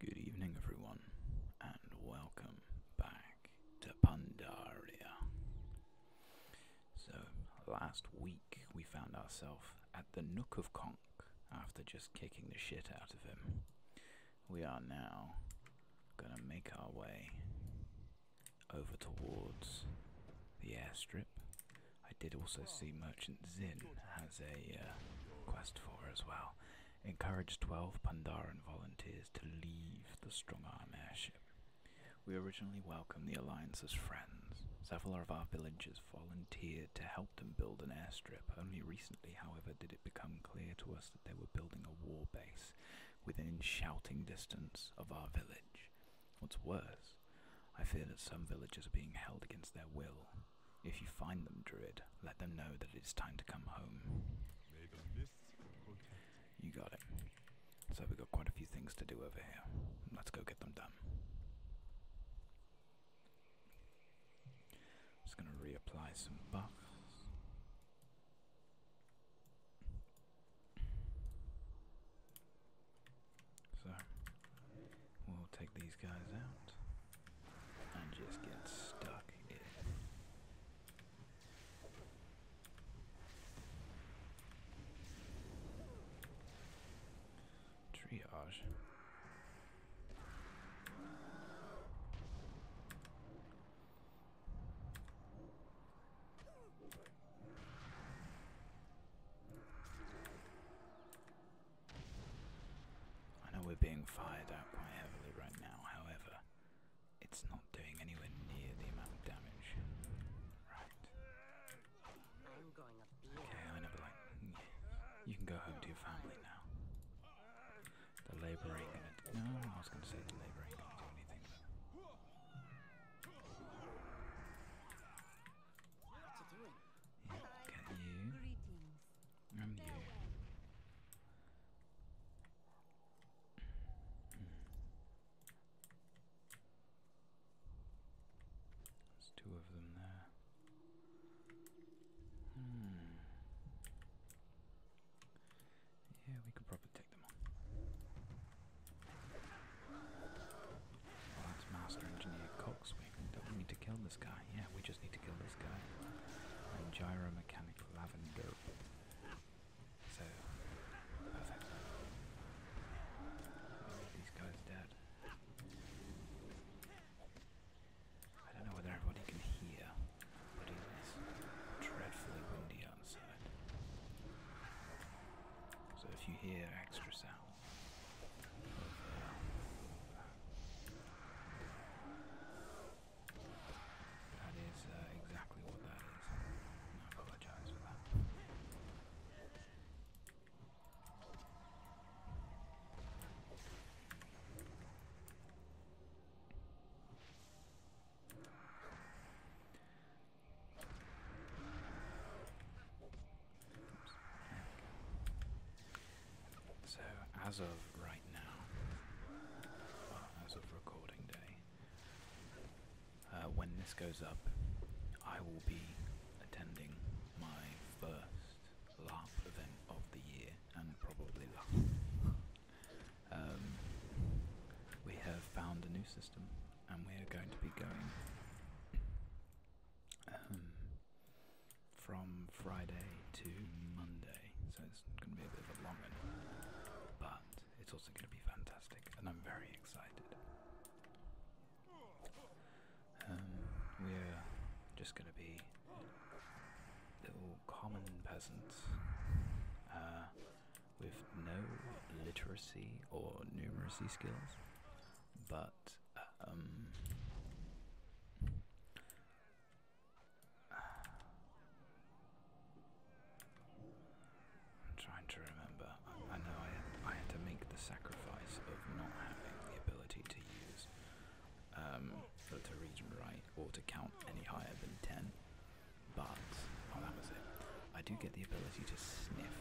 Good evening, everyone, and welcome back to Pandaria. So, last week we found ourselves at the Nook of Conk after just kicking the shit out of him. We are now gonna make our way over towards the airstrip. I did also see Merchant Zin has a uh, quest for as well. Encourage 12 Pandaran volunteers to leave the Strongarm airship. We originally welcomed the Alliance as friends. Several of our villagers volunteered to help them build an airstrip. Only recently, however, did it become clear to us that they were building a war base within shouting distance of our village. What's worse, I fear that some villagers are being held against their will. If you find them, Druid, let them know that it is time to come home. You got it. So we've got quite a few things to do over here. Let's go get them done. Just gonna reapply some buffs. So we'll take these guys out and just get stuck in. Triage. I know we're being fired at quite heavily right now, however, it's not doing anywhere near the amount of damage. Right. okay, I know, like, you can go home to your family now. The laboring. No, I was gonna say the laboring. What's you. I'm you. There's two of them there. Hmm. Yeah, we could probably take them on. That's Master Engineer Coxwing. Don't we need to kill this guy? Yeah, we just need to kill this guy. And Gyro Mechanic Lavender. So, perfect. Oh, these guys dead. I don't know whether everybody can hear, but it is dreadfully windy outside. So if you hear extra sound that is uh, exactly what that is. I apologize for that. So, as of right now, as of recording day, uh, when this goes up, I will be attending my first laugh event of the year, and probably laugh. Um, we have found a new system and we're going to be going um, from Friday to Monday, so it's going to be a bit of a long one, but it's also going to be fantastic, and I'm very excited. Um, we're just going to be little common peasants uh, with no literacy or numeracy skills but um, I'm trying to remember. I, know I had, to make the sacrifice of not having the ability to use um, to read and or to count any higher than ten. But oh, that was it. I do get the ability to sniff,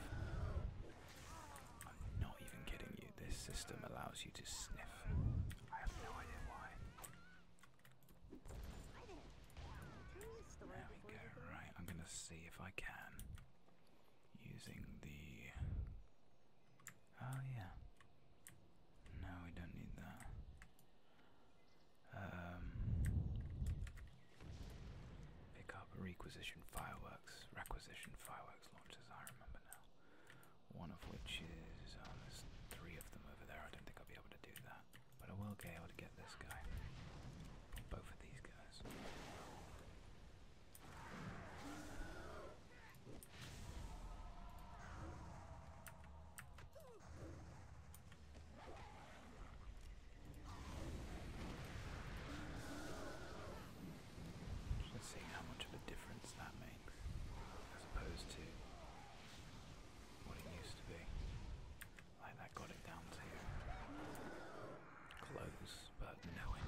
I'm not even kidding you. This system allows you to sniff. I have no idea why. There we go. Right, I'm gonna see if I can using the. Oh yeah. No, we don't need that. Um. Pick up requisition fireworks, requisition fireworks launchers. I remember now. One of which is, um, there's three of them over there, I don't think I'll be able to do that. But I will be able to get this guy. Both of these guys. Just seeing how much of a difference that makes as opposed to what it used to be. Like that got it down to close, but nowhere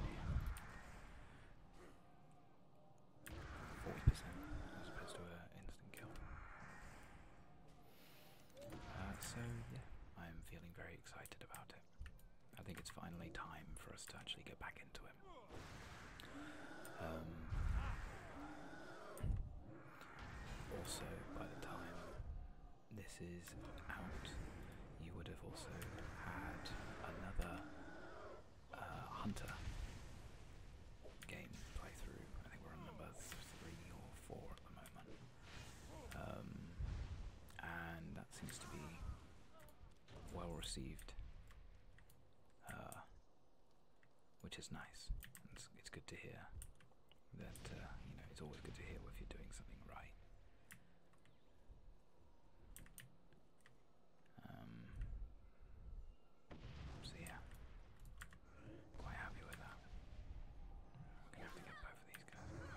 40% as opposed to an instant kill. Uh, so yeah, I am feeling very excited about it. I think it's finally time for us to actually get back into it. Um, also, by the time this is out, you would have also had another uh, Hunter game playthrough. I think we're on number three or four at the moment. Um, and that seems to be well received, uh, which is nice. It's, good to hear that uh, you know it's always good to hear if you're doing something right. Um, so yeah, quite happy with that. I'm gonna have to get both of these pretty good.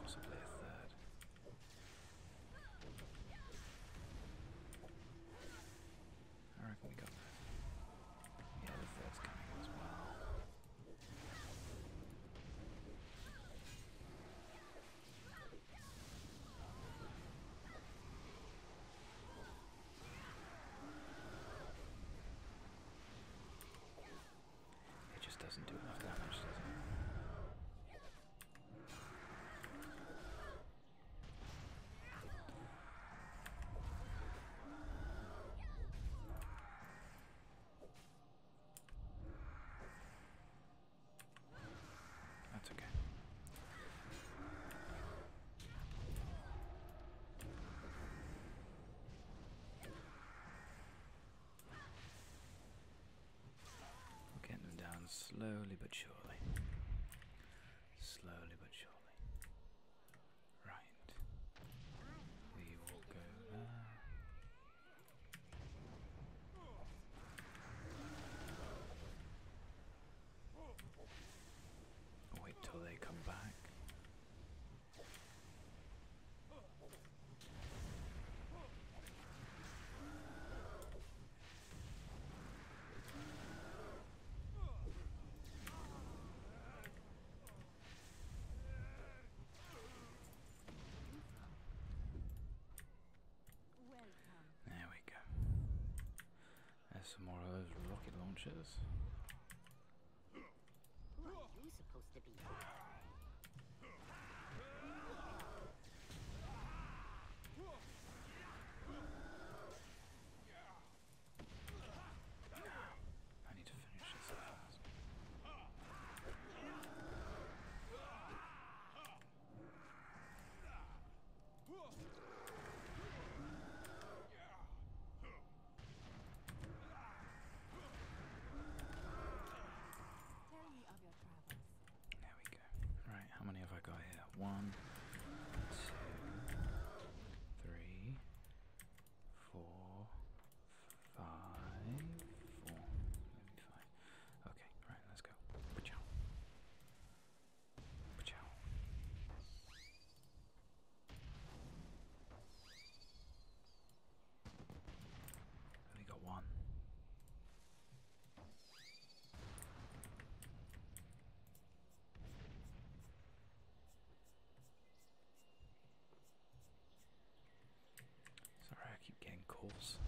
Possibly a third. I reckon we got that. The other third's coming as well. All it just doesn't do enough damage, does it? That's okay. We're getting them down slowly but surely. Slowly but surely. Right. We will go there. Wait till they come back. There we go. There's some more of those rocket launchers. Who are you supposed to be? I need to finish this fast. There we go. Right, how many have I got here? One, two, three, four, five, four, maybe five. Okay, right, let's go. Pachow. Pachow. Only got one. Sorry, I keep getting calls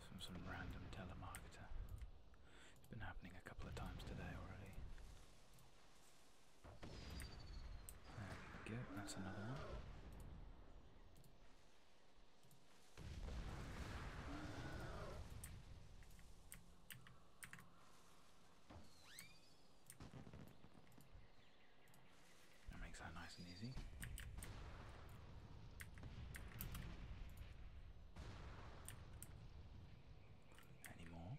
from some random telemarketer. It's been happening a couple of times today already. There we go, that's another one. That makes that nice and easy. Any more?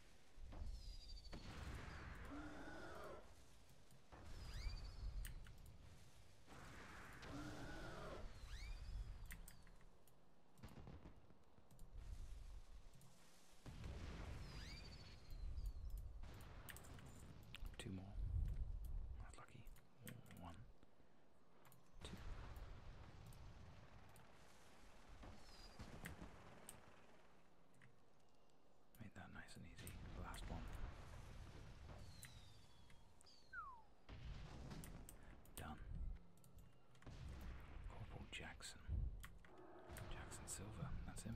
Two more. Not lucky. One. Two. Make that nice and easy. Last one. Done. Corporal Jackson. Jackson Silver, that's him.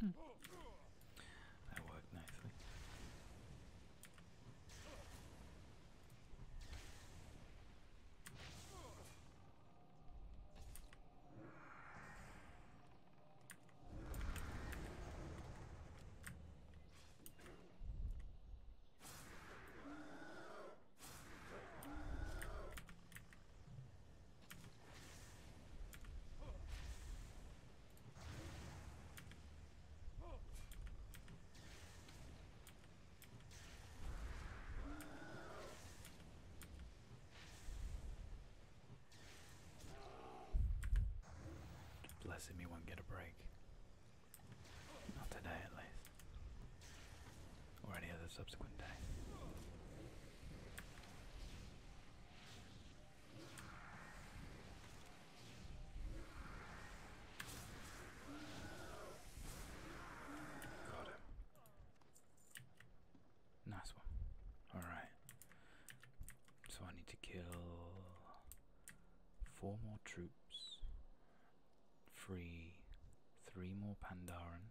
Hmm. That worked nicely. Blessed me won't get a break. Not today at least or any other subsequent day. Got him. Nice one. Alright. So I need to kill four more troops, free three more Pandaren,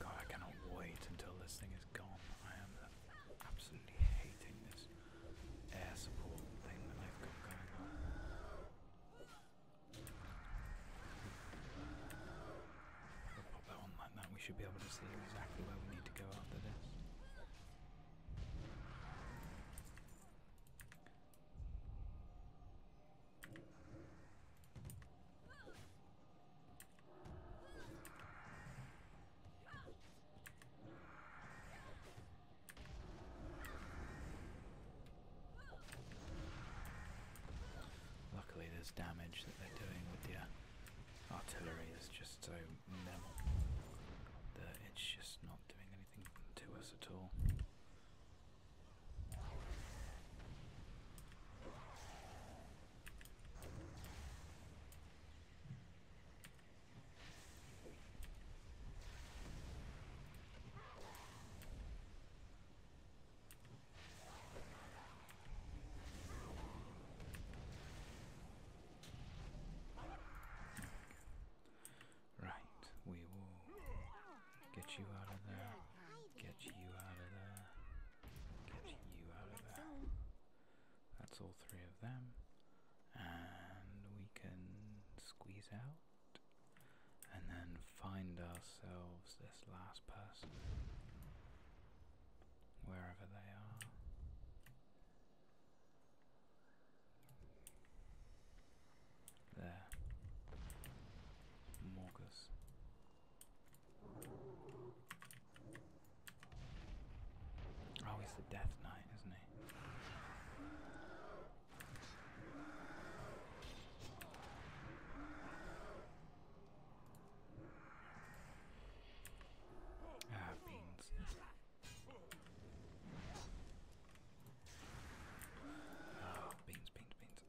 God, I cannot wait until this thing is gone. I am absolutely hating this air support thing that they've got going on. We'll pop that on like that. We should be able to see exactly where we need to go after this. Luckily, there's damage that they're doing with the uh, artillery is just so minimal that it's just not doing anything to us at all. Right, we will get you out of there. Get you out of there. Get you out of there. That's all three of them. And we can squeeze out and then find ourselves this last person wherever they are. There. Morgus. Oh, the Death Knight, isn't he? Ah, beans. Oh, beans, beans, beans. Alright.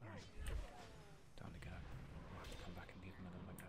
Down to go. I'll have to come back and give them another go.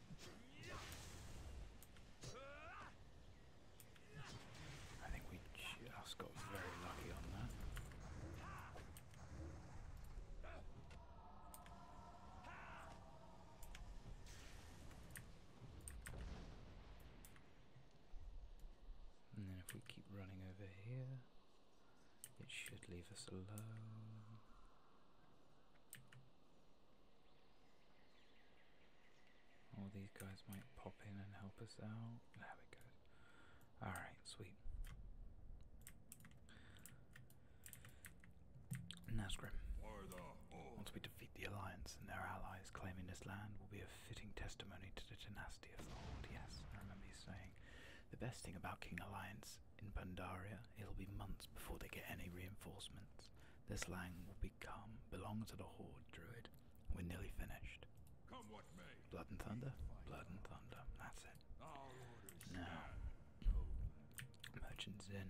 I think we just got very lucky on that. And then if we keep running over here, it should leave us alone. All these guys might pop in and help us out. There we go. Alright, sweet. Now, Nazgrim. Once we defeat the Alliance and their allies claiming this land will be a fitting testimony to the tenacity of the Horde. Yes, I remember you saying the best thing about King Alliance in Bandaria, it'll be months before they get any reinforcements. This land will become Belongs to the Horde Druid. We're nearly finished. Come what may. Blood and thunder, blood and thunder. That's it. Now, merchants in.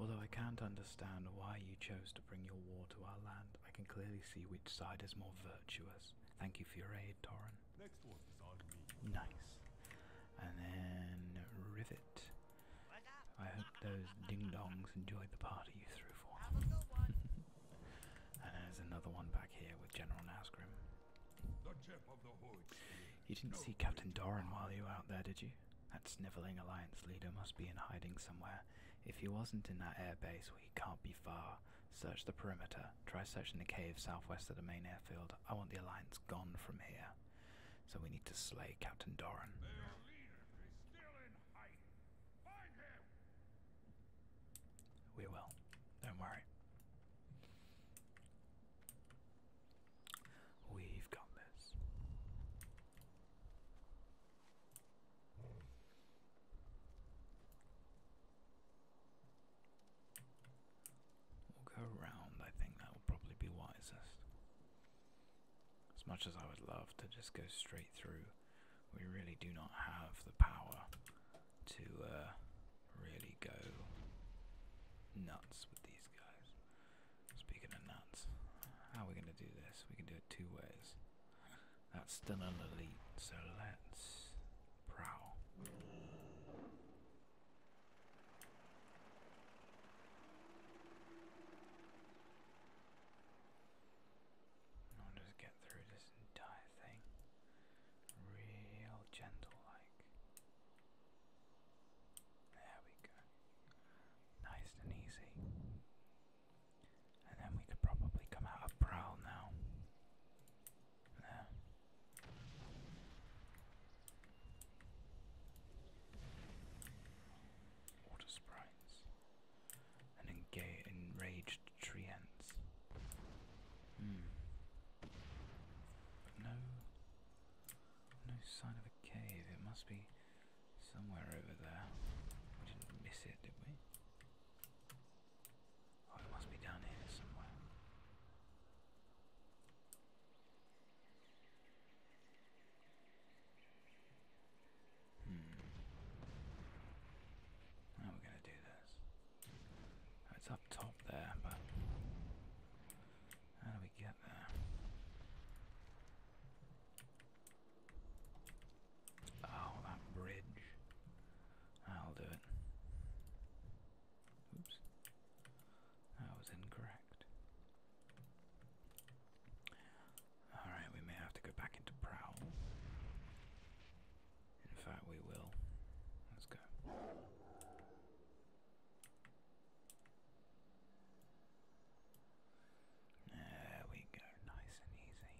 Although I can't understand why you chose to bring your war to our land, I can clearly see which side is more virtuous. Thank you for your aid, Toran. Nice. And then rivet. I hope those ding-dongs enjoyed the party you threw for them. and there's another one back here with General Nazgrim. You didn't see Captain Doran while you were out there, did you? That snivelling Alliance leader must be in hiding somewhere. If he wasn't in that airbase, he can't be far. Search the perimeter. Try searching the cave southwest of the main airfield. I want the Alliance gone from here. So we need to slay Captain Doran. We will. Don't worry. We've got this. We'll go round, I think that will probably be wisest. As much as I would love to just go straight through, we really do not have the power to uh, really go nuts with these guys. Speaking of nuts, how are we going to do this? We can do it two ways. That's still the lead. so let's prowl just get through this entire thing real gentle like. There we go. Nice and easy. And then we could probably come out of Prowl now. There. Water sprites. An enraged tree ants. Hmm. no, no sign of a cave. It must be somewhere over there. We didn't miss it, did we? Oh, it must be down here somewhere. Hmm. How are we going to do this? It's up top there, but how do we get there? Oh, that bridge. I'll do it. Oops. That was incorrect. Alright, we may have to go back into Prowl. In fact, we will. Let's go. There we go, nice and easy.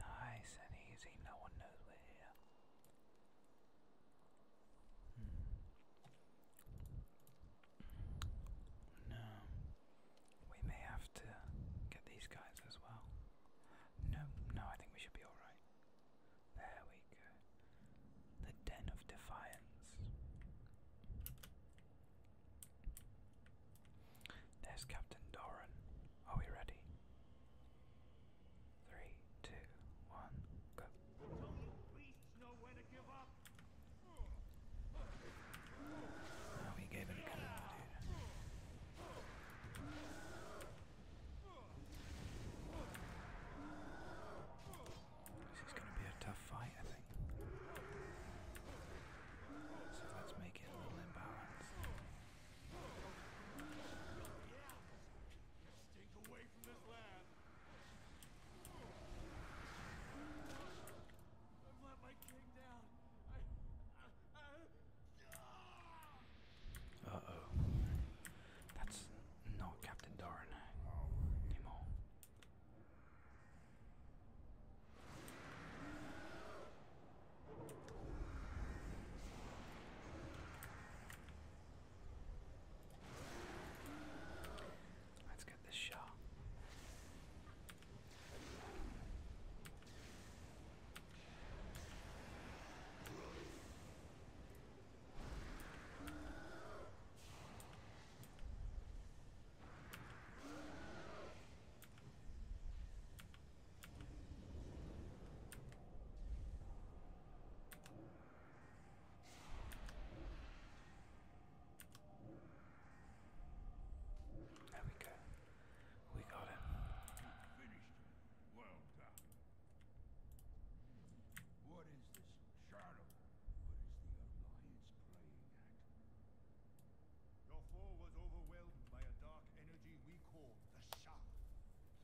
Nice and easy, no one knows we're here. Hmm. No. We may have to get these guys as well. No, no, I think we should be alright. There we go. The Den of Defiance. There's Captain Doran. Are we ready? Three, two, one, go. Oh, he gave it a good one, dude. This is going to be a tough fight, I think. So let's make it a little imbalanced. Stink away uh oh. That's not Captain Darn anymore. Let's get this shot. There we go. We got him. Finished. Well done. What is this shadow? What is the alliance playing at? Your foe was overwhelmed by a dark energy we call the shaft.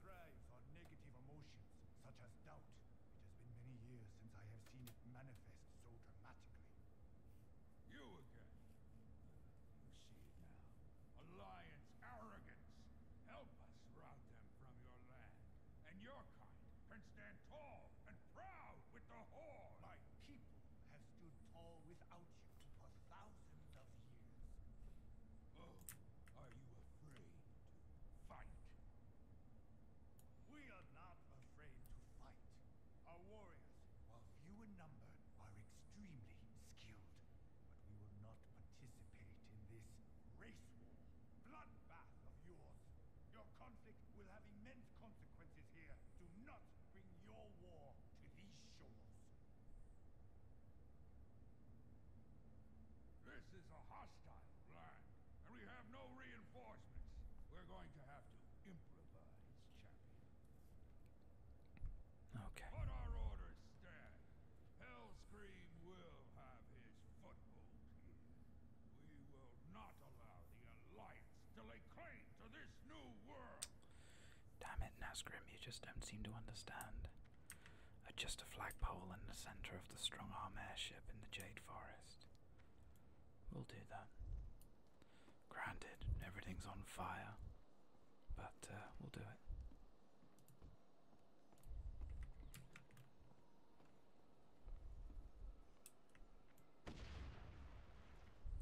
Thrives on negative emotion such as doubt. It has been many years since I have seen it manifest so dramatically. You again. You see now. Alliance arrogance. Help us rout them from your land. And your kind can stand tall and proud with the Horde. My people have stood tall without you for thousands of years. Oh, are you afraid fight? We are not afraid to fight. Our warriors, while few in number, are extremely skilled. But we will not participate in this race war, bloodbath of yours. Your conflict will have immense consequences here. Do not bring your war to these shores. This is a hostile land, and we have no reinforcements. We're going to have to improvise, champion. Okay. But our orders stand. Hellscream will have his foothold We will not allow the Alliance to lay claim to this new world. Damn it, Nazgrim, you just don't seem to understand. Adjust a flagpole in the center of the strong arm airship in the Jade Forest. We'll do that. Granted, everything's on fire, but uh, we'll do it.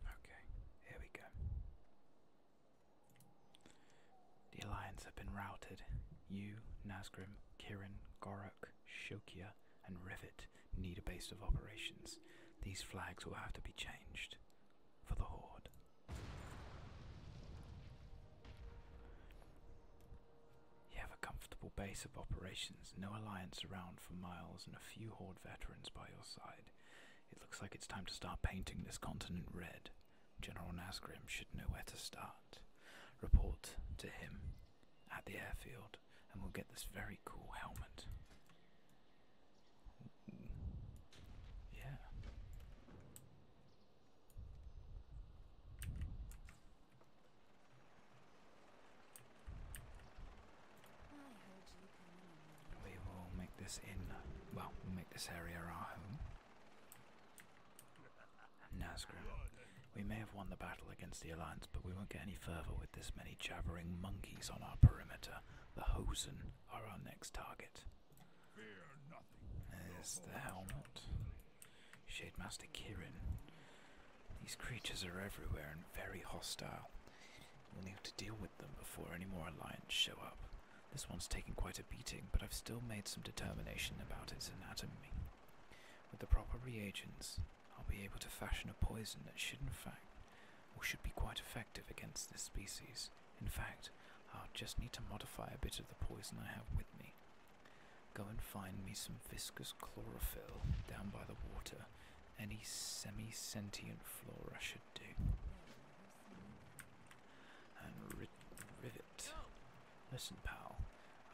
Okay, here we go. The Alliance have been routed. You, Nasgrim. Kirin, Gorok, Shokia, and Rivet need a base of operations. These flags will have to be changed for the Horde. You have a comfortable base of operations, no alliance around for miles, and a few Horde veterans by your side. It looks like it's time to start painting this continent red. General Nasgrim should know where to start report to him at the airfield and we'll get this very cool helmet. Yeah. We will make this in, well, we'll make this area our home. Nazgrim. We may have won the battle against the Alliance, but we won't get any further with this many jabbering monkeys on our perimeter. The Hosen are our next target. There's the helmet. Shademaster Kirin. These creatures are everywhere and very hostile. We'll need to deal with them before any more Alliance show up. This one's taken quite a beating, but I've still made some determination about its anatomy. With the proper reagents, I'll be able to fashion a poison that should, in fact, or should be quite effective against this species. In fact, I'll just need to modify a bit of the poison I have with me. Go and find me some viscous chlorophyll down by the water. Any semi sentient flora should do rivet. Listen, pal.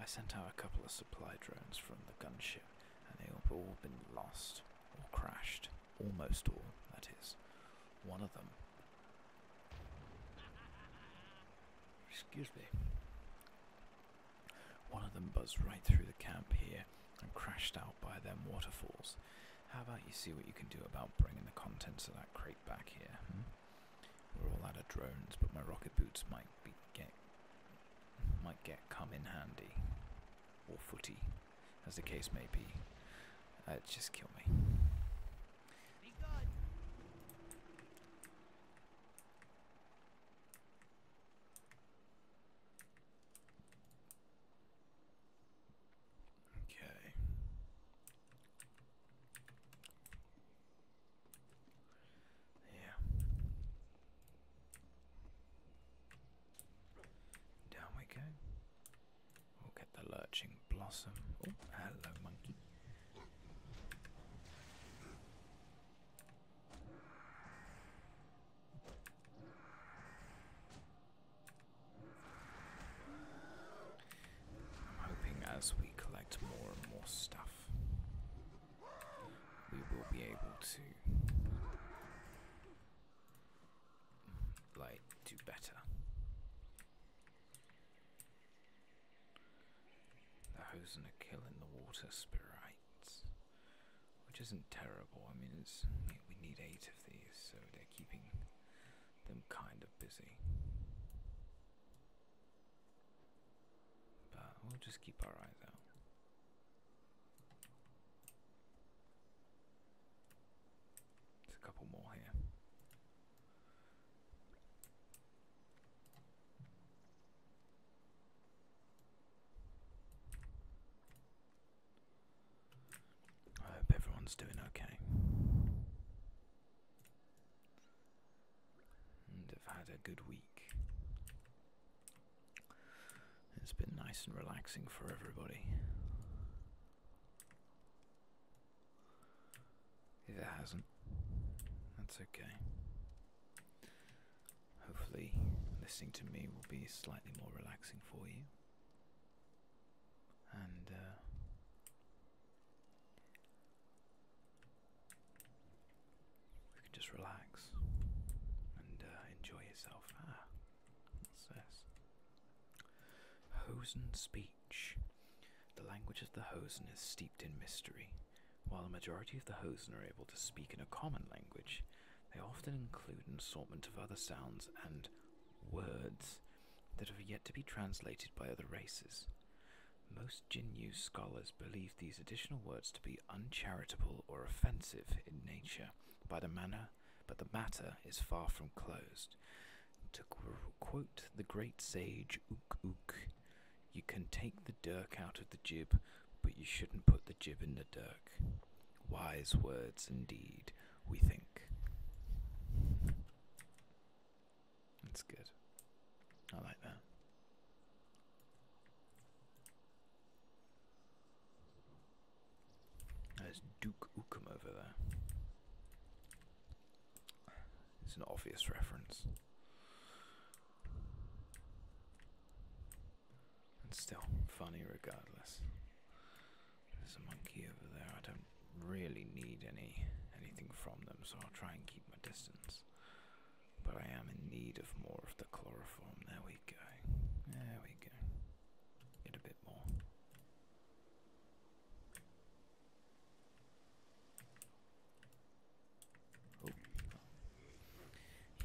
I sent out a couple of supply drones from the gunship, and they have all been lost or crashed. Almost all, that is. One of them. Excuse me. One of them buzzed right through the camp here and crashed out by them waterfalls. How about you see what you can do about bringing the contents of that crate back here? Hmm? We're all out of drones, but my rocket boots might be get might get come in handy, or footy, as the case may be. Uh, just kill me. Okay. Yeah. Down we go. We'll get the lurching blossom. Oh, hello, monkey. I'm hoping as we collect more and more stuff, we will be able to like do better. The and hosen kill in the water spirits, which isn't terrible. I mean, it's we need eight of these, so they're keeping them kind of busy. But we'll just keep our eyes out. There's a couple more here. I hope everyone's doing okay and have had a good week. It's been nice and relaxing for everybody. If it hasn't, that's okay. Hopefully, listening to me will be slightly more relaxing for you. And uh, we can just relax and uh, enjoy yourself. Ah, what's this? Hosen speech. The language of the Hosen is steeped in mystery. While the majority of the Hosen are able to speak in a common language, they often include an assortment of other sounds and words that have yet to be translated by other races. Most Jinyu scholars believe these additional words to be uncharitable or offensive in nature, by the manner, but the matter is far from closed. To quote the great sage Ook Ook, you can take the dirk out of the jib, but you shouldn't put the jib in the dirk. Wise words indeed, we think. That's good. I like that. There's Duke Ukum over there. It's an obvious reference. And still funny regardless. There's a monkey over there. I don't really need any anything from them, so I'll try and keep my distance. But I am in need of more of the chloroform. There we go. There we go. Get a bit more.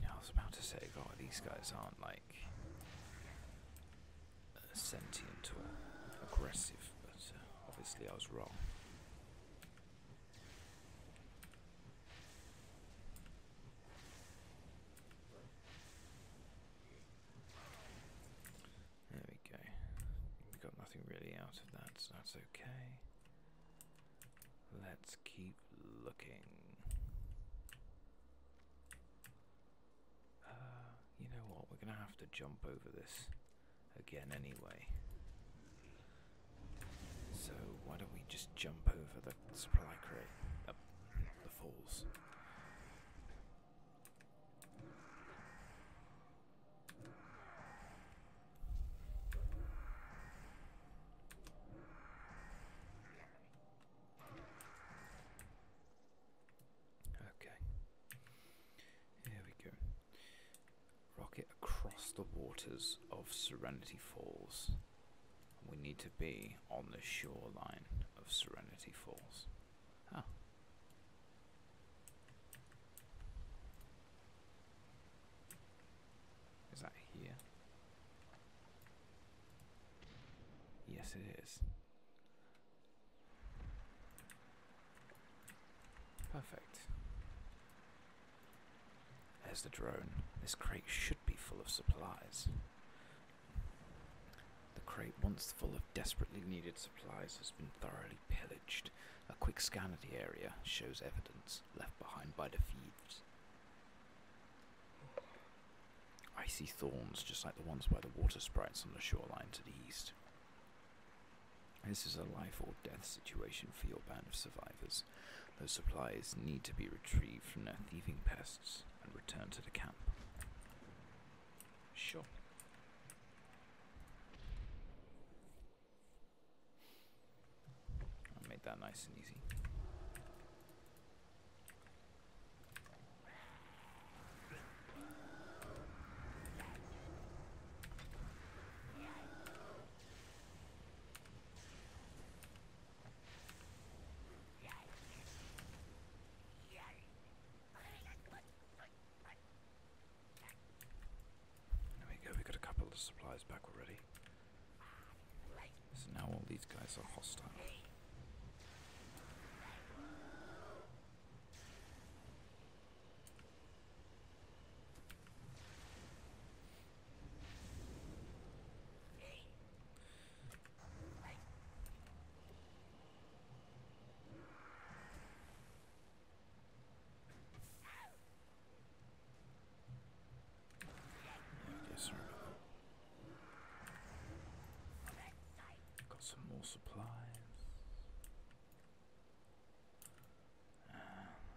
I was about to say, God, these guys aren't like uh, sentient or aggressive, but uh, obviously I was wrong. There we go. We got nothing really out of that, so that's okay. Let's keep looking. Uh, you know what? We're going to have to jump over this again anyway. So why don't we just jump over the supply crate up the falls? Okay. Here we go. Rocket across the waters of Serenity Falls. We need to be on the shoreline of Serenity Falls. Is that here? Yes, it is. Perfect. There's the drone. This crate should be full of supplies. The crate, once full of desperately needed supplies, has been thoroughly pillaged. A quick scan of the area shows evidence left behind by the thieves. Icy thorns, just like the ones by the water sprites on the shoreline to the east. This is a life or death situation for your band of survivors. Those supplies need to be retrieved from their thieving pests and returned to the camp. Sure. made that nice and easy. There we go, we got a couple of supplies back already. So now all these guys are hostile. Yes, sir. Got some more supplies.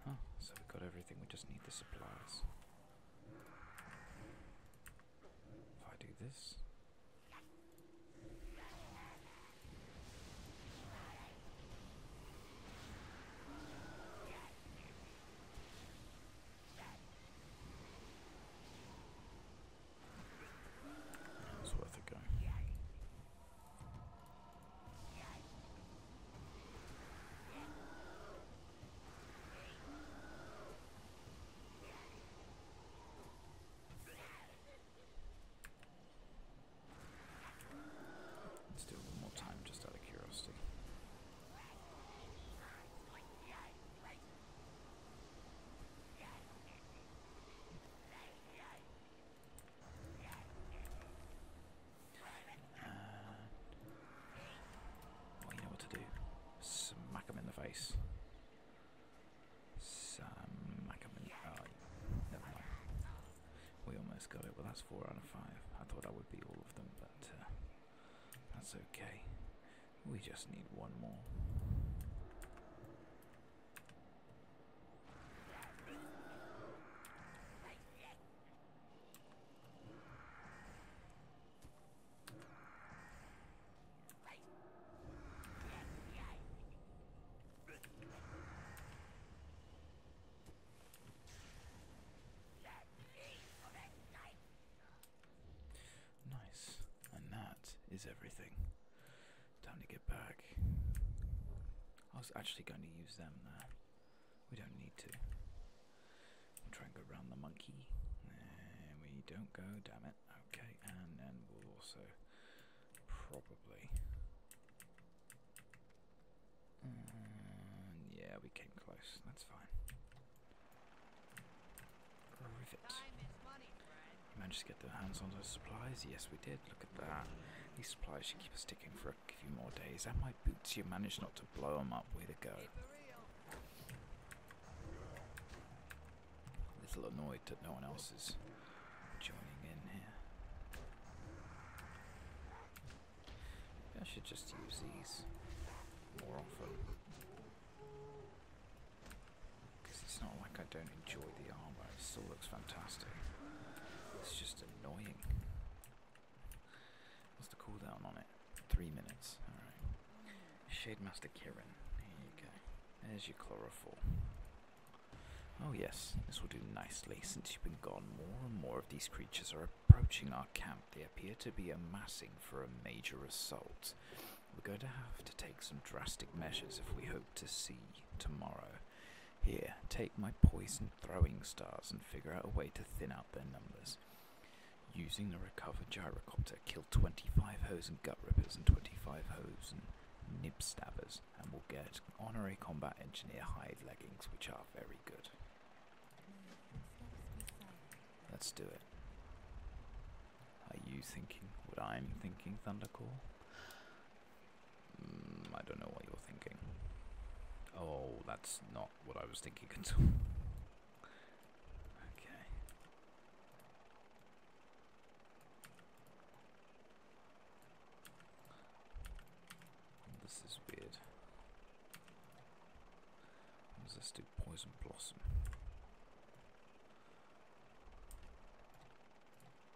Uh, so we've got everything, we just need the supplies. If I do this. That worth a go. Let's do it one more time just out of curiosity. Uh, you know what to do. Smack him in the face. Smack him in the oh, We almost got it. Well, that's four out of five. I thought that would be all of them, but uh, that's okay. We just need one more. Nice, and that is everything. Time to get back. I was actually going to use them there. We don't need to. we try and go round the monkey. we don't go, damn it. Okay, and then we'll also probably. Mm, yeah, we came close. That's fine. Rivet. Managed to get their hands on those supplies? Yes, we did. Look at that. These supplies should keep us ticking for a few more days. And my boots, you managed not to blow them up. Way to go. A little annoyed that no one else is joining in here. I should just use these more often. Because it's not like I don't enjoy the armor. It still looks fantastic. It's just just annoying. What's the cooldown on it? Three minutes. Shade Master Kieran, Here you go. There's your chlorophyll. Oh yes, this will do nicely. Since you've been gone, more and more of these creatures are approaching our camp. They appear to be amassing for a major assault. We're going to have to take some drastic measures if we hope to see tomorrow. Here, take my poison throwing stars and figure out a way to thin out their numbers. Using the recovered gyrocopter, kill 25 hose and gut rippers and 25 hose and nib stabbers, and we'll get honorary combat engineer hide leggings, which are very good. Let's do it. Are you thinking what I'm thinking, Thundercore? Mm, I don't know what you're thinking. Oh, that's not what I was thinking at okay. This is weird. Zested poison blossom.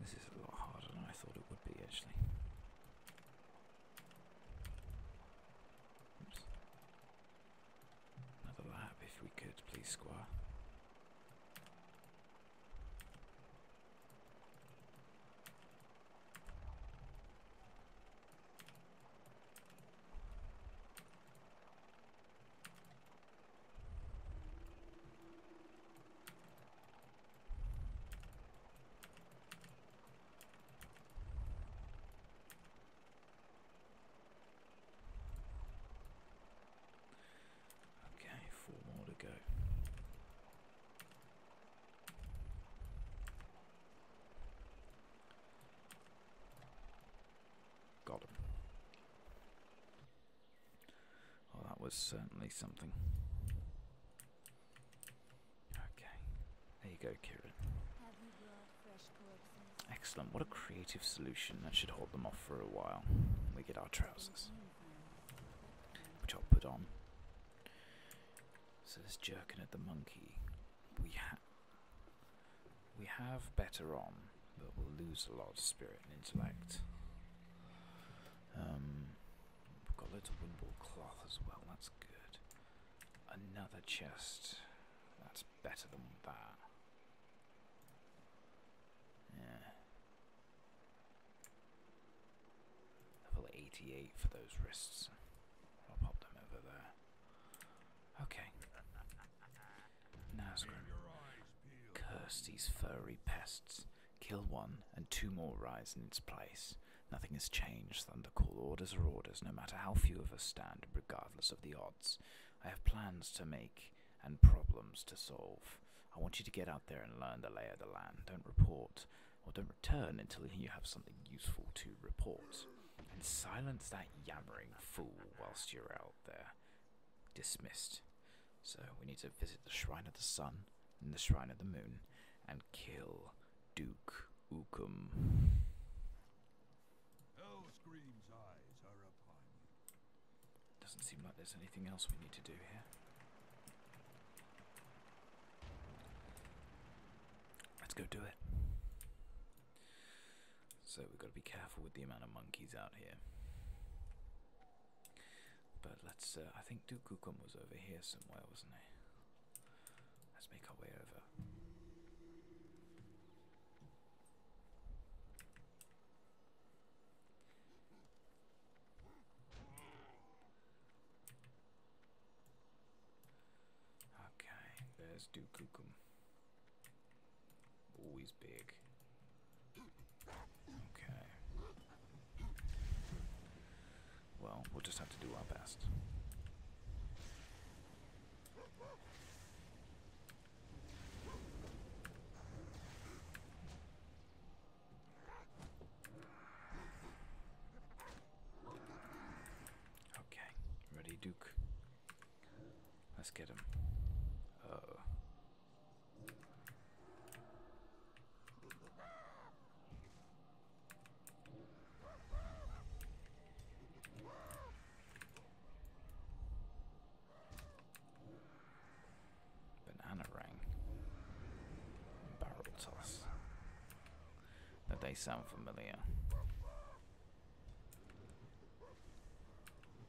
This is a lot harder than I thought it would be actually. Another lap if we could, please, Squire. Okay, four more to go. Got him. Oh, that was certainly something. Okay, there you go, Kiran. Excellent, what a creative solution. That should hold them off for a while. We get our trousers, which I'll put on. So, this jerking at the monkey. We, ha we have better on, but we'll lose a lot of spirit and intellect. Um, we've got loads of windball cloth as well, that's good. Another chest, that's better than that. Yeah. Level 88 for those wrists. I'll pop them over there. Okay. Nazgrim. Curse these furry pests. Kill one, and two more rise in its place. Nothing has changed, Thunder call Orders or orders, no matter how few of us stand, regardless of the odds. I have plans to make and problems to solve. I want you to get out there and learn the lay of the land. Don't report or don't return until you have something useful to report. And silence that yammering fool whilst you're out there dismissed. So we need to visit the Shrine of the Sun and the Shrine of the Moon and kill Duke Ukum. Doesn't seem like there's anything else we need to do here. Let's go do it. So we've got to be careful with the amount of monkeys out here. But let's, uh, I think Dukukum was over here somewhere, wasn't he? Let's make our way over. Okay, there's Dukukum. Always big. Okay. Well, we'll just have to do our best. Okay, ready, Duke. Let's get him. oh. Banana ring. Barrel toss. That they sound familiar.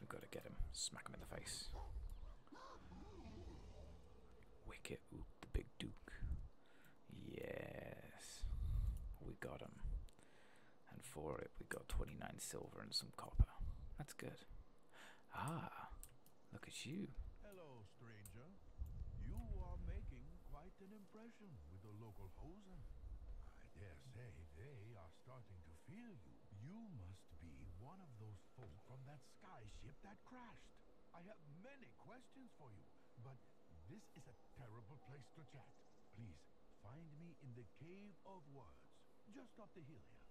We've got to get him. Smack him in the face. Wicket. the big duke. Yes. We got him. And for it, we got 29 silver and some copper. That's good. Ah, look at you. Hello, stranger. You are making quite an impression with the local hosen. I dare say they are starting to you. must be one of those folk from that sky that crashed. I have many questions for you, but this is a terrible place to chat. Please, find me in the Cave of Words, just up the hill here,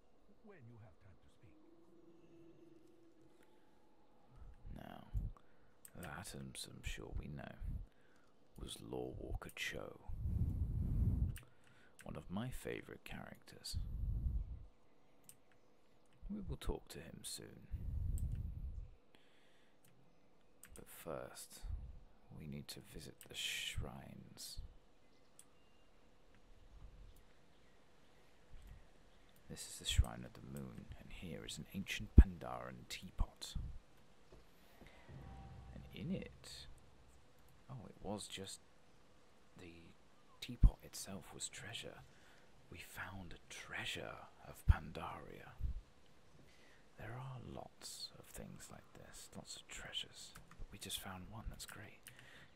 when you have time to speak. Now, that, I'm sure we know, was Law Walker Cho one of my favorite characters. We will talk to him soon. But first, we need to visit the shrines. This is the Shrine of the Moon, and here is an ancient Pandaran teapot. And in it, oh, it was just the teapot itself was treasure. We found a treasure of Pandaria. There are lots of things like this, lots of treasures. We just found one, that's great.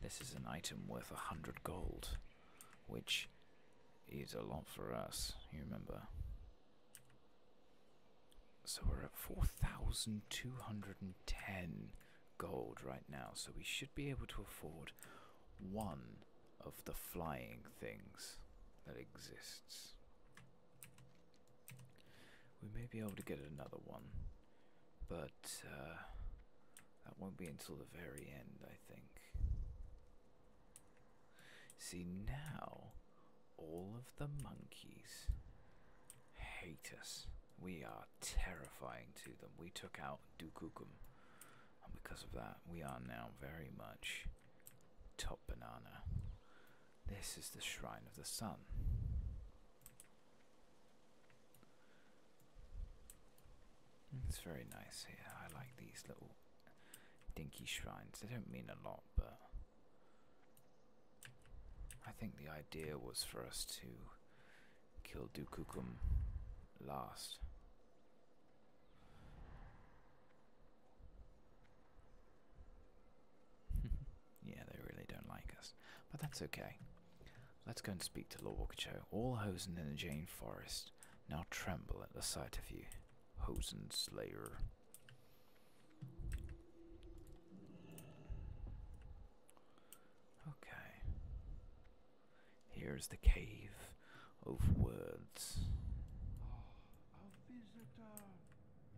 This is an item worth a hundred gold, which is a lot for us, you remember. So we're at 4,210 gold right now, so we should be able to afford one of the flying things that exists. We may be able to get another one, but uh, that won't be until the very end, I think. See, now all of the monkeys hate us. We are terrifying to them. We took out Dukukum, and because of that, we are now very much top banana. This is the Shrine of the Sun. It's very nice here. I like these little dinky shrines. They don't mean a lot, but I think the idea was for us to kill Dukukum last. yeah, they really don't like us. But that's okay. Let's go and speak to Lord Wakacho. All Hosen in the Jane Forest now tremble at the sight of you, Hosen Slayer. Okay. Here is the cave of words.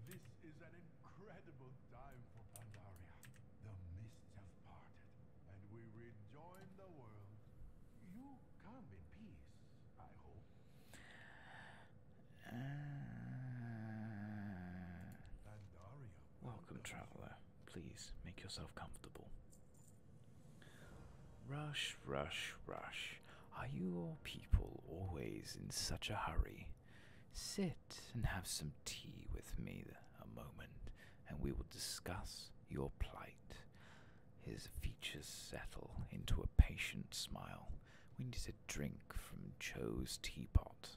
This is an incredible time for Pandaria. The mists have parted, and we rejoin the world. You come in peace, I hope. Uh, welcome, traveler. Please make yourself comfortable. Rush, rush, rush. Are you people always in such a hurry? Sit and have some tea with me a moment, and we will discuss your plight. His features settle into a patient smile. We need to drink from Joe's teapot.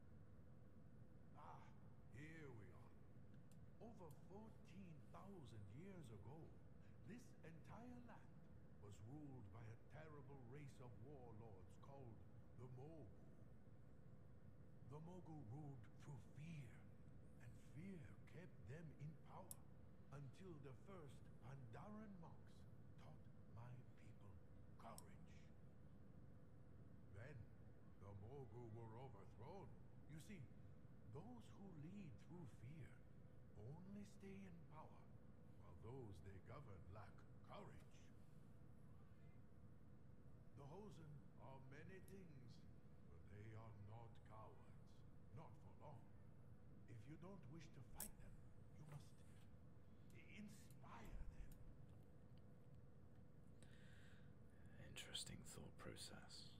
Ah, here we are. Over 14,000 years ago, this entire land was ruled by a terrible race of warlords called the Mogul. The Mogul ruled through fear, and fear kept them in power until the first Pandaren monks taught my people courage. Then the Mogu were overthrown. You see, those who lead through fear only stay in power, while those they govern lack courage. The Hosen are many things, but they are not cowards. Not for long. If you don't wish to fight them, you must inspire them. Interesting thought process.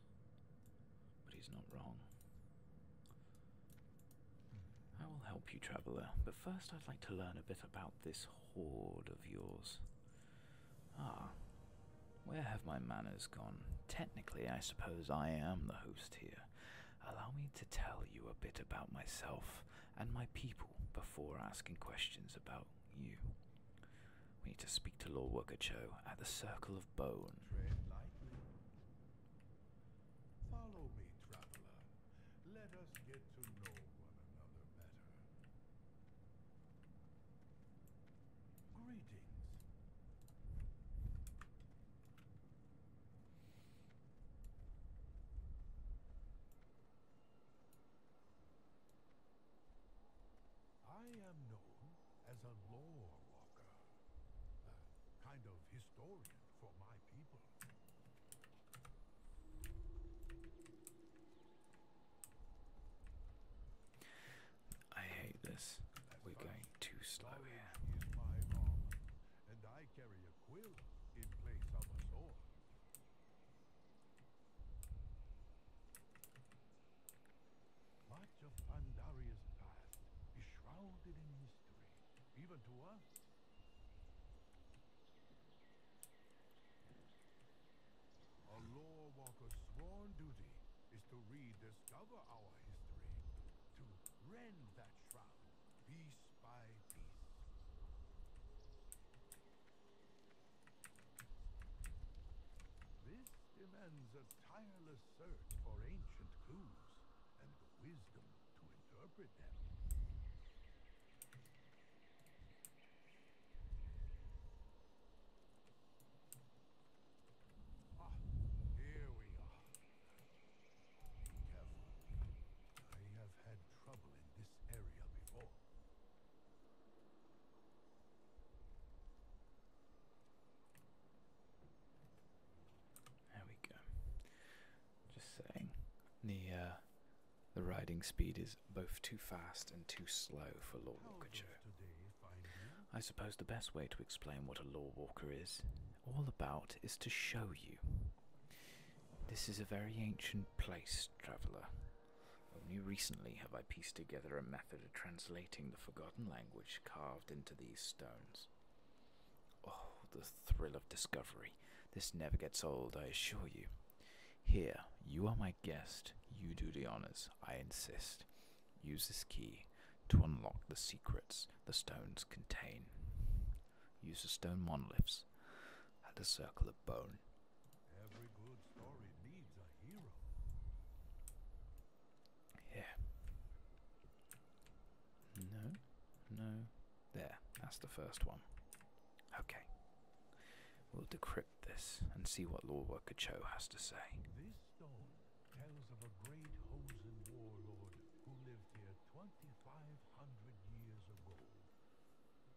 But he's not wrong. I will help you, traveller, but first I'd like to learn a bit about this hoard of yours. Ah, where have my manners gone? Technically, I suppose I am the host here. Allow me to tell you a bit about myself and my people before asking questions about you. We need to speak to Lord Wokacho at the Circle of Bone. Tread lightly. Follow me, traveler. Let us get to know one another better. Greetings. I am known as a lore walker, kind of historian for my people. I hate this. We're going too slow here. Much of Pandaria's past is shrouded in mystery, even to us. A law walker's sworn duty is to rediscover our history, to rend that shroud piece by piece. This demands a tireless search for ancient clues and the wisdom to interpret them. Ah, here we are. Careful. I have had trouble in this area before. There we go. Just saying, the uh, the riding speed is both too fast and too slow for Law I suppose the best way to explain what a Law Walker is, all about, is to show you. This is a very ancient place, traveller, only recently have I pieced together a method of translating the forgotten language carved into these stones. Oh, the thrill of discovery! This never gets old, I assure you. Here, you are my guest. You do the honors, I insist. Use this key to unlock the secrets the stones contain. Use the stone monoliths and the circle of bone yeah. No, no. There, that's the first one. Okay. We'll decrypt this and see what Law Worker Cho has to say. This stone tells of a great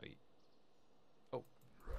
Wait. Oh. Right.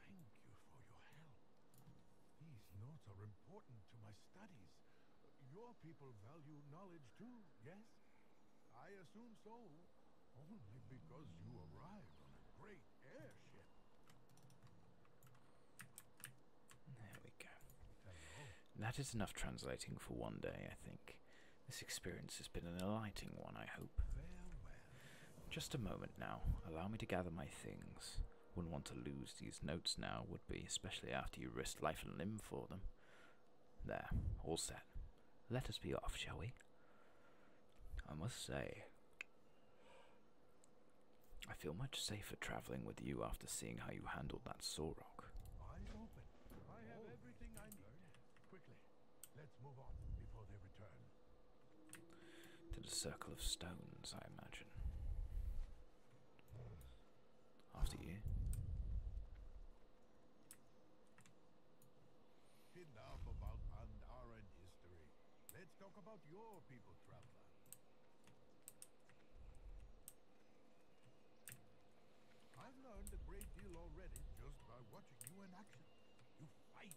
Thank you for your help. These notes are important to my studies. Your people value knowledge too, yes? I assume so. Only because you arrived on a great airship. There we go. That is enough translating for one day, I think. This experience has been an enlightening one, I hope. Just a moment now. Allow me to gather my things. Wouldn't want to lose these notes now, would be, especially after you risked life and limb for them. There, all set. Let us be off, shall we? I must say, I feel much safer traveling with you after seeing how you handled that Sorok. I to the circle of stones, I imagine. After you. Enough about Andaran history. Let's talk about your people, traveler. I've learned a great deal already just by watching you in action. You fight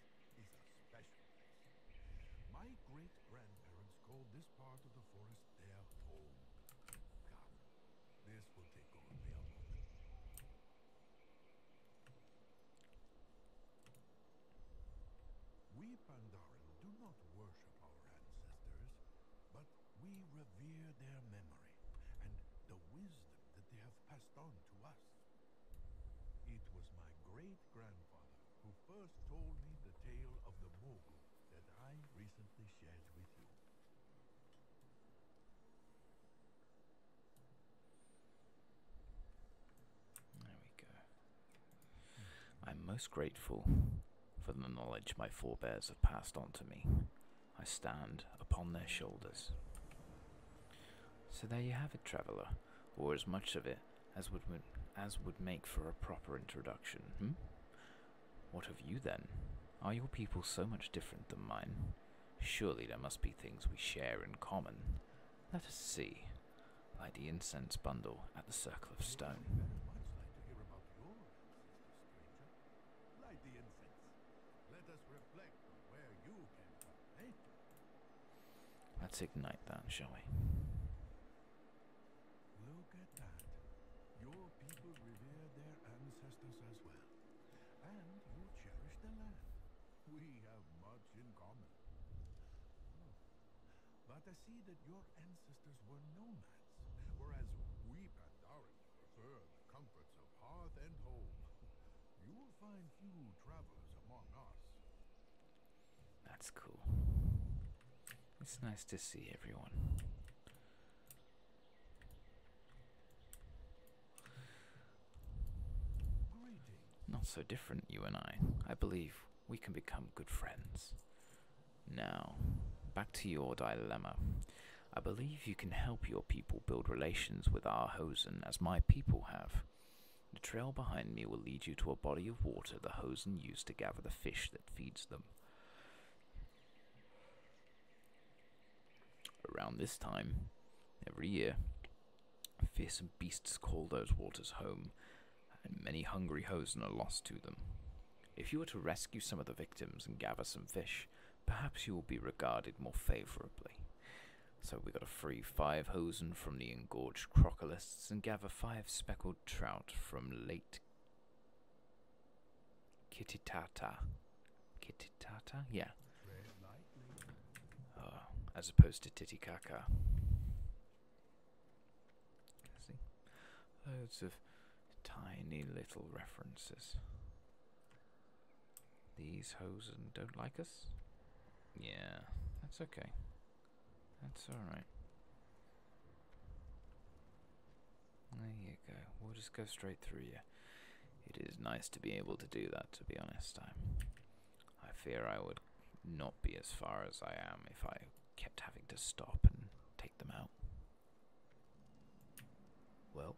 My great-grandparents called this part of the forest their home. Come, this will take only a moment. We Pandaren do not worship our ancestors, but we revere their memory and the wisdom that they have passed on to us. It was my great-grandfather who first told me the tale of the Mogul that I recently shared with you. There we go. I'm most grateful for the knowledge my forebears have passed on to me. I stand upon their shoulders. So there you have it, traveller or as much of it as would, as would make for a proper introduction. Hmm? What of you then? Are your people so much different than mine? Surely there must be things we share in common. Let us see. Like the incense bundle at the Circle of Stone. Let's ignite that, shall we? Look at that. Your people revere their ancestors as well. And you cherish the land. We have much in common. Oh. But I see that your ancestors were nomads, whereas we Pandaren prefer the comforts of hearth and home. That's cool. It's nice to see everyone. Not so different, you and I. I believe we can become good friends. Now, back to your dilemma. I believe you can help your people build relations with our Hosen as my people have. The trail behind me will lead you to a body of water the hosen use to gather the fish that feeds them. Around this time, every year, fearsome beasts call those waters home, and many hungry hosen are lost to them. If you were to rescue some of the victims and gather some fish, perhaps you will be regarded more favorably. So we got a free five hosen from the engorged crocolists and gather five speckled trout from late Kititata. Kititata? Yeah. Oh, as opposed to Titikaka. See? Loads of tiny little references. These hosen don't like us? Yeah, that's okay. That's alright. There you go. We'll just go straight through you. It is nice to be able to do that, to be honest. I, I fear I would not be as far as I am if I kept having to stop and take them out. Well,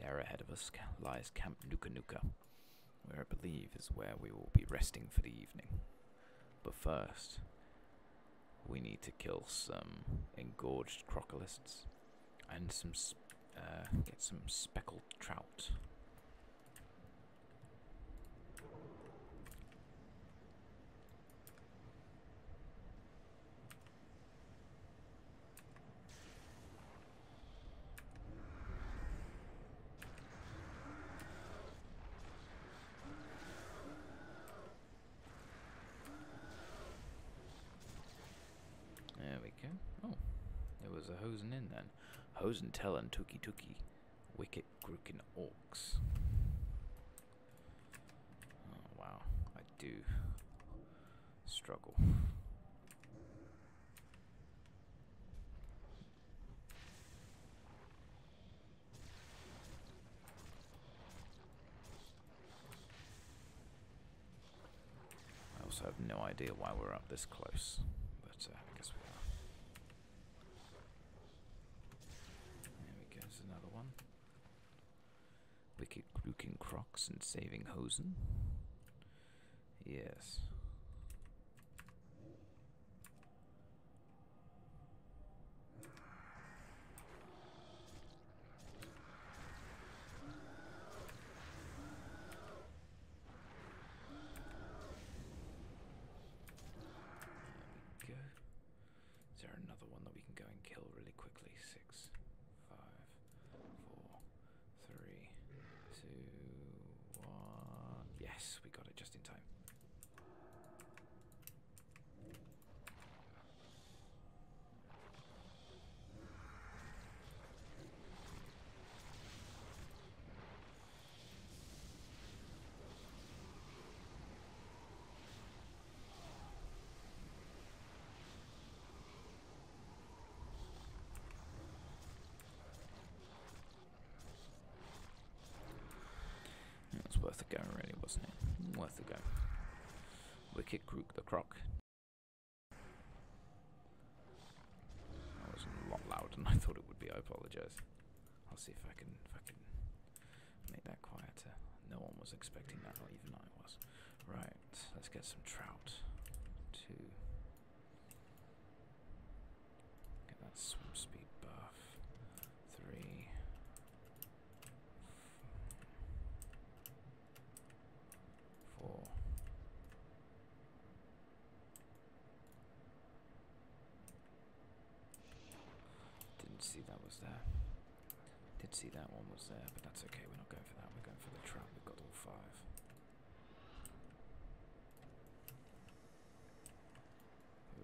there ahead of us lies Camp Nuka Nuka where I believe is where we will be resting for the evening. But first, we need to kill some engorged crocolists and some uh, get some speckled trout. There we go. Oh, there was a hosing in then. Hosen tellin' tookie tookie. Wicked grookin' orks. Oh, wow. I do struggle. I also have no idea why we're up this close, but uh, I guess we are. There we go, there's another one. Wicked looking Crocs and Saving Hosen. Yes. go. Is there another one that we can go and kill really quickly? Six, five, four, Three, two, one. Yes, we got it just in time. It was worth a go, really, wasn't it? Worth a go. Wicked Crook the Croc. That was a lot louder than I thought it would be. I apologise. I'll see if I can, make that quieter. No one was expecting that, not even I was. Right, let's get some trout to Get that swim speed buff. Three. Four. Didn't see that was there. Did see that one was there, but that's okay. We're not going for that. We're going for the trap. We've got all five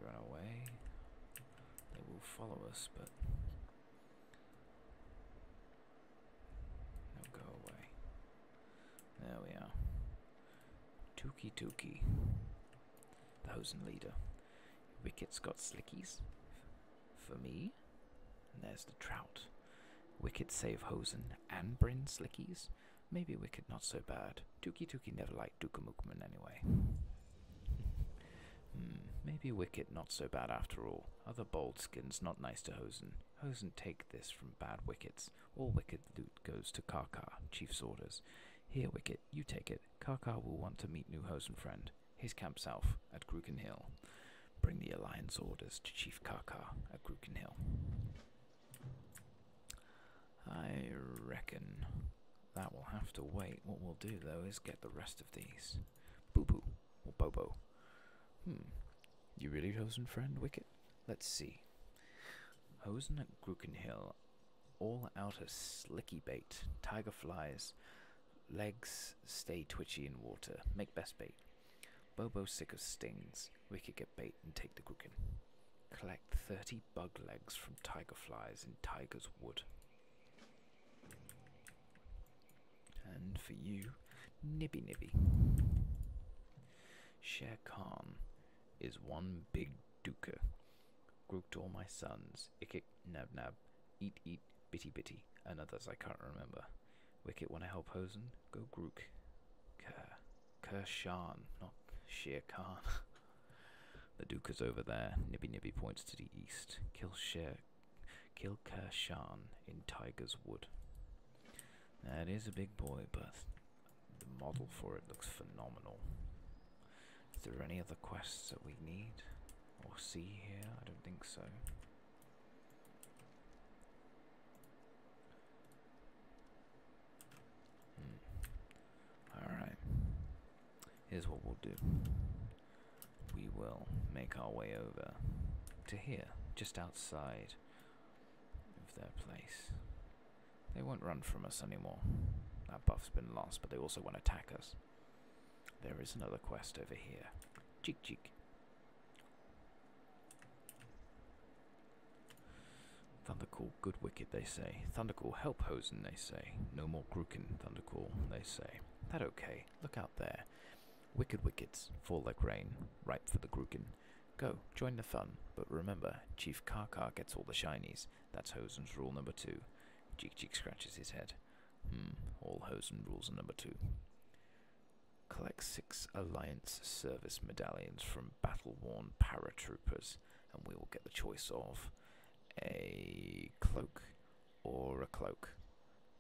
run away, they will follow us, but they'll go away. There we are. Tuki Tuki, the Hosen leader. Wicket's got slickies for me. And there's the trout. Wicket save Hosen and Brin Slickies? Maybe Wicket not so bad. Dookie Dookie never liked Dukamukman anyway. Hmm, maybe Wicket not so bad after all. Other Boldskins not nice to Hosen. Hosen take this from bad Wickets. All Wicket loot goes to Karkar, Chief's orders. Here, Wicket, you take it. Karkar will want to meet new Hosen friend. His camp south, at Gruken Hill. Bring the Alliance orders to Chief Kaka at Gruken Hill. I reckon that will have to wait. What we'll do, though, is get the rest of these. Boo Boo or Bobo. Hmm. You really chosen friend, Wicket? Let's see. Hosen at Gruken Hill. All outer slicky bait. Tiger flies. Legs stay twitchy in water. Make best bait. Bobo, sick of stings, we could get bait and take the Guggen. Collect 30 bug legs from tiger flies in Tiger's Wood. And for you, Nibby Nibby. Share Khan is one big duker. Grouped all my sons, Ikik, Nab Nab, Eat Eat, Bitty Bitty, and others I can't remember. Wicket want to help Hosen. Go Grook. Ker. Shan! not Shere Khan. the Duke is over there. Nibby Nibby points to the east. Kill Shere. Kill Kershan in Tiger's Wood. That is a big boy, but the model for it looks phenomenal. Is there any other quests that we need or see here? I don't think so. Hmm. Alright. Here's what we'll do. We will make our way over to here, just outside of their place. They won't run from us anymore. That buff's been lost, but they also won't attack us. There is another quest over here. Cheek cheek. Thundercall, good wicked, they say. Thundercall, help Hosen, they say. No more Gruken, Thundercall, they say. That okay, look out there. Wicked wickets fall like rain, ripe for the Gruken. Go, join the fun, but remember, Chief Karkar gets all the shinies. That's Hosen's rule number two. Cheek Cheek scratches his head. Hmm, all Hosen rules are number two. Collect six Alliance service medallions from battle worn paratroopers, and we will get the choice of a cloak or a cloak,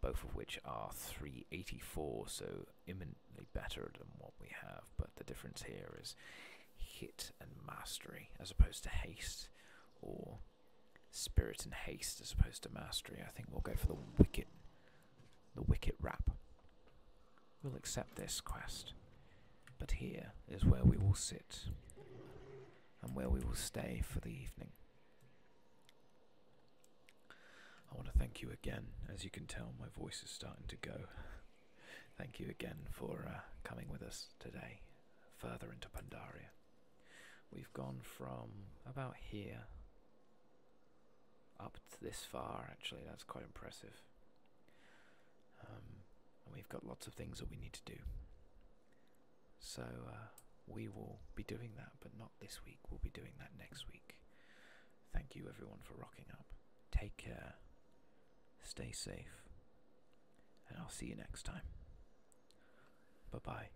both of which are 384, so imminently better than what we have. But the difference here is hit and mastery as opposed to haste or spirit and haste as opposed to mastery. I think we'll go for the wicket the wicket wrap. We'll accept this quest, but here is where we will sit and where we will stay for the evening. I want to thank you again. As you can tell, my voice is starting to go. thank you again for uh, coming with us today further into Pandaria. We've gone from about here up this far actually that's quite impressive um, and we've got lots of things that we need to do so uh, we will be doing that but not this week we'll be doing that next week thank you everyone for rocking up take care stay safe and i'll see you next time bye bye